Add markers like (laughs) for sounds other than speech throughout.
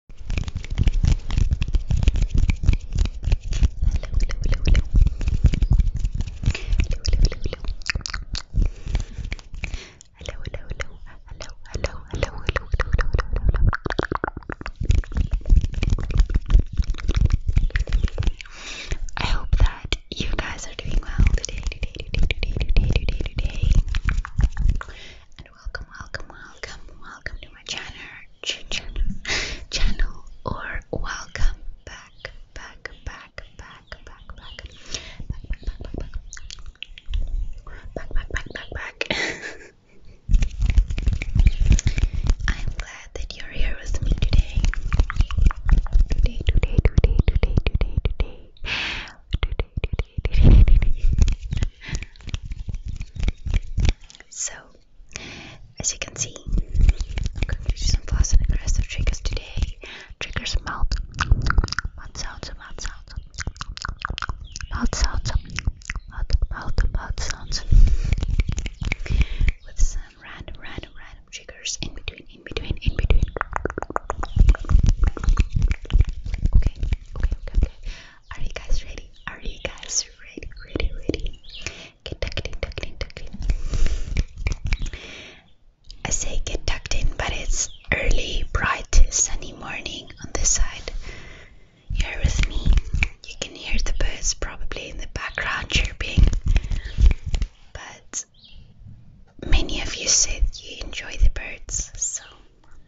hello. I hope that you guys are doing well today, welcome, welcome, welcome, welcome to my channel, channel, channel, or welcome back, back, back, back, back, back, back, back, back, back, back, back, back, back, I'm glad that you're here with me today. Today, today, today, today, today, today. So, as you can see, I'm going to do some fast and aggressive triggers today. Triggers mouth, mouth sounds, mouth sounds, mouth sounds, mouth, mouth, mouth sounds. With some random, random, random triggers in between, in between, in between. Okay, okay, okay, okay. Are you guys ready? Are you guys ready? Ready, ready? Get tucked in, tucked in, tucked in. I say get tucked in, but it's early, bright, sunny morning on this side. Here with me. You can hear the birds probably in the background chirping. But many of you said you enjoy the birds, so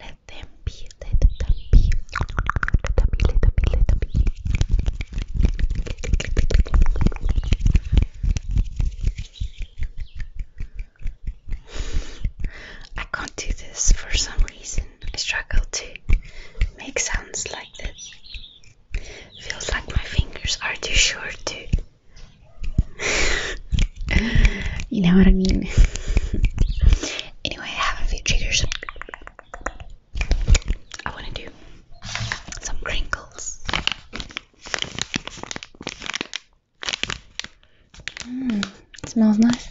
let them be, let them be. Let them be, let them be, let them be. I can't do this for some reason. I struggle to make sounds like this. Feels like my fingers are too short to you know what I mean? anyway, I have a few triggers. I want to do some crinkles. Mmm, smells nice.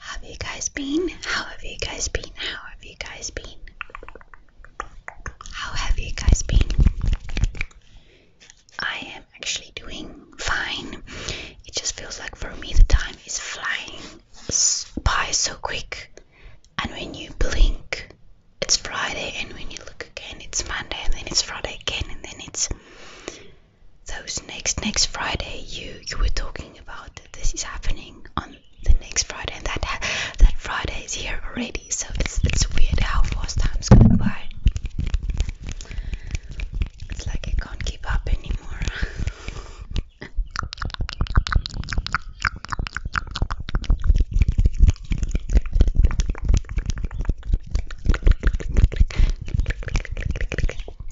Have you guys been? How have you guys been? How have you guys been? How have you guys been? I am actually doing fine. It just feels like for me the time is flying by so quick. And when you blink, it's Friday, and when you look again, it's Monday, and then it's Friday again, and then it's those next next Friday you you were talking about this is happening on the next Friday and that that Friday is here already so it's it's weird how fast time's going by it's like I can't keep up anymore (laughs)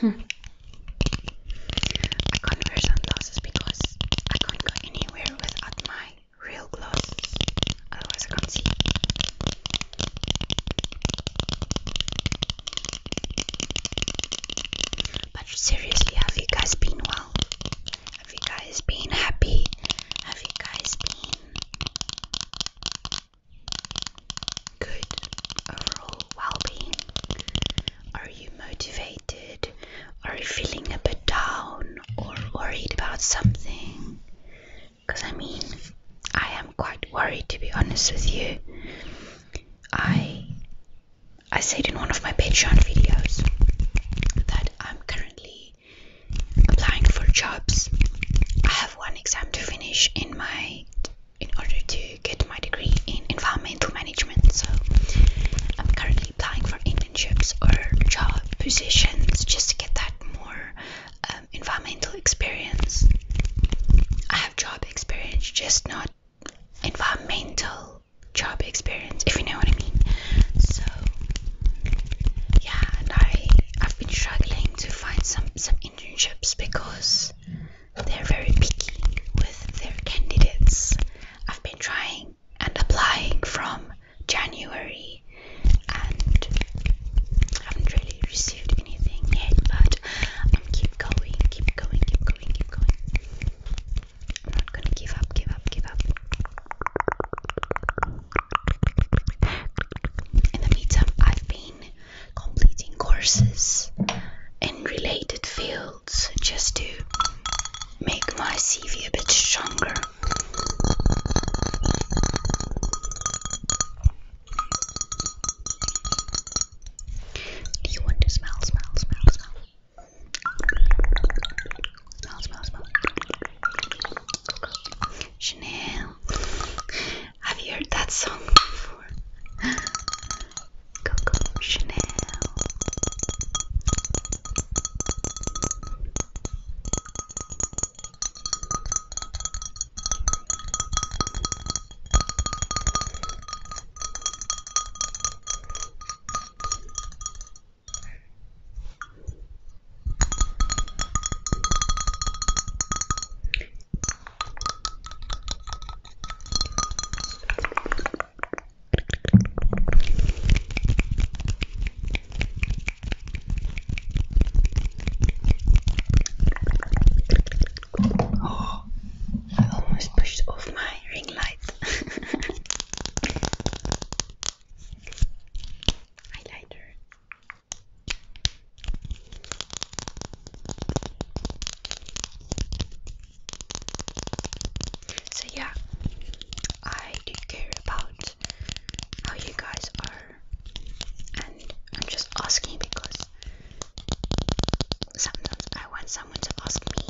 Hmm. I can't wear sunglasses because I can't go anywhere without my real glasses, otherwise, I can't see. But seriously, have you guys been well? Have you guys been happy? Have you guys been good overall well-being? Are you motivated? Are you feeling a bit down or worried about something? Because I mean, I am quite worried to be honest with you. I I said in one of my Patreon videos that I'm currently applying for jobs. I have one exam to finish in my in order to get my degree in environmental management. So I'm currently applying for internships or job positions just to get that more um, environmental experience. I have job experience, just not environmental job experience, if you know what I mean. So yeah, and I I've been struggling to find some some internships because they're very picky with their candidates. I've been trying and applying from January and haven't really received anything yet, but I'm keep going, keep going, keep going, keep going. I'm not gonna give up, give up, give up. In the meantime, I've been completing courses in related fields just to make my CV a bit stronger. Do you want to smell, smell, smell, smell? Smell, smell, Chanel. Have you heard that song before? Coco Chanel. Oh, I almost pushed off my ring light. (laughs) Highlighter. So yeah, I do care about how you guys are, and I'm just asking because sometimes I want someone to ask me.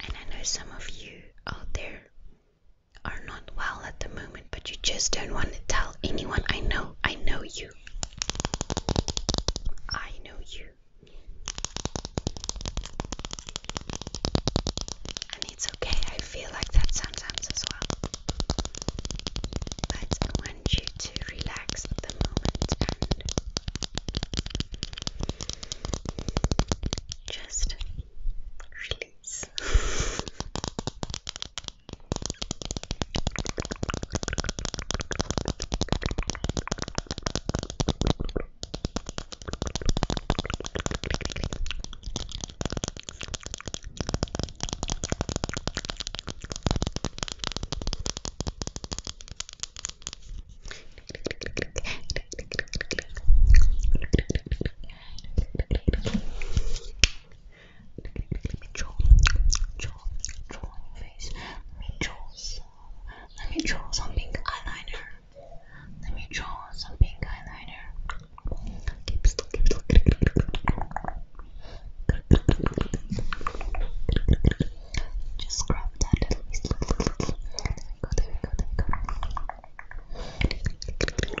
And I know some of you out there are not well at the moment, but you just don't want to tell anyone. I know, I know you. I know you. And it's okay, I feel like that sometimes as well. But I want you to relax at the moment and just release draw, draw, draw your face. Let me draw some. Let me draw some pink eyeliner. Let me draw some pink eyeliner. Keep still, keep still. Just grab that little piece. There we go, there we go, there we go. Good, good.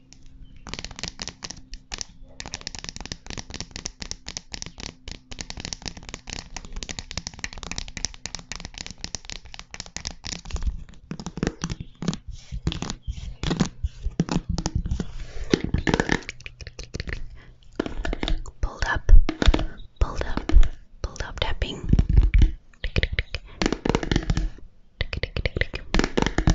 Pulled up, pulled up, pulled up tapping. Tick, tick, tick. Tick, tick, tick, tick.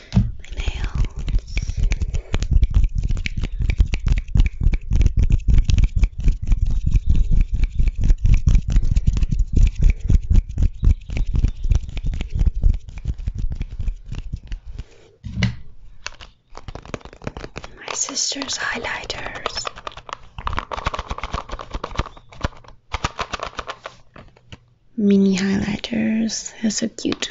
my nails, my sister's highlighters. Mini highlighters, they're so cute.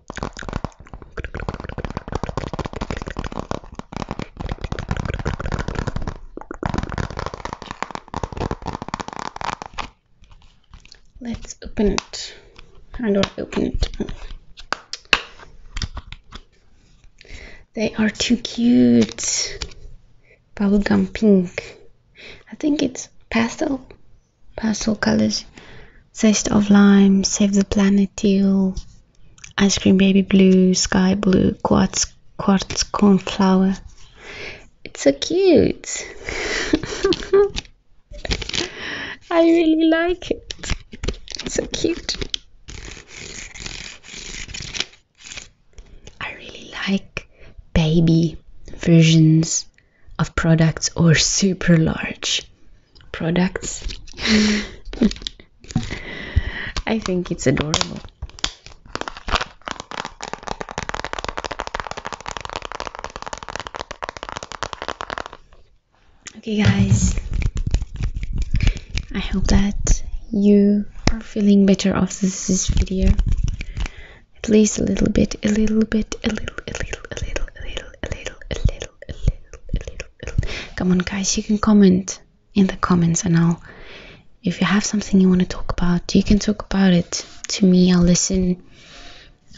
Let's open it. How do I open it? They are too cute. Bubblegum pink. I think it's pastel pastel colors zest of lime save the planet teal ice cream baby blue sky blue quartz quartz cornflower it's so cute (laughs) i really like it it's so cute i really like baby versions of products or super large products. (laughs) I think it's adorable. Okay, guys, I hope that you are feeling better after this video at least a little bit, a little bit, a little, a little, a little, a little, a little, a little, a little, a little, a little. Come on, guys, you can comment in the comments, and I'll. If you have something you want to talk about, you can talk about it to me. I'll listen.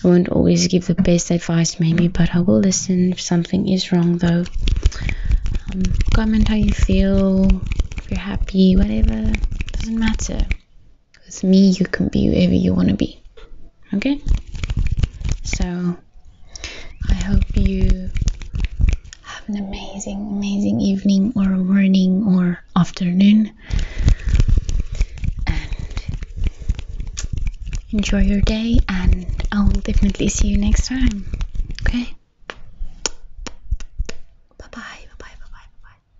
I won't always give the best advice, maybe, but I will listen. If something is wrong, though, um, comment how you feel, if you're happy, whatever. Doesn't matter with me you can be wherever you want to be okay so i hope you have an amazing amazing evening or morning or afternoon and enjoy your day and i will definitely see you next time okay bye bye bye bye bye bye bye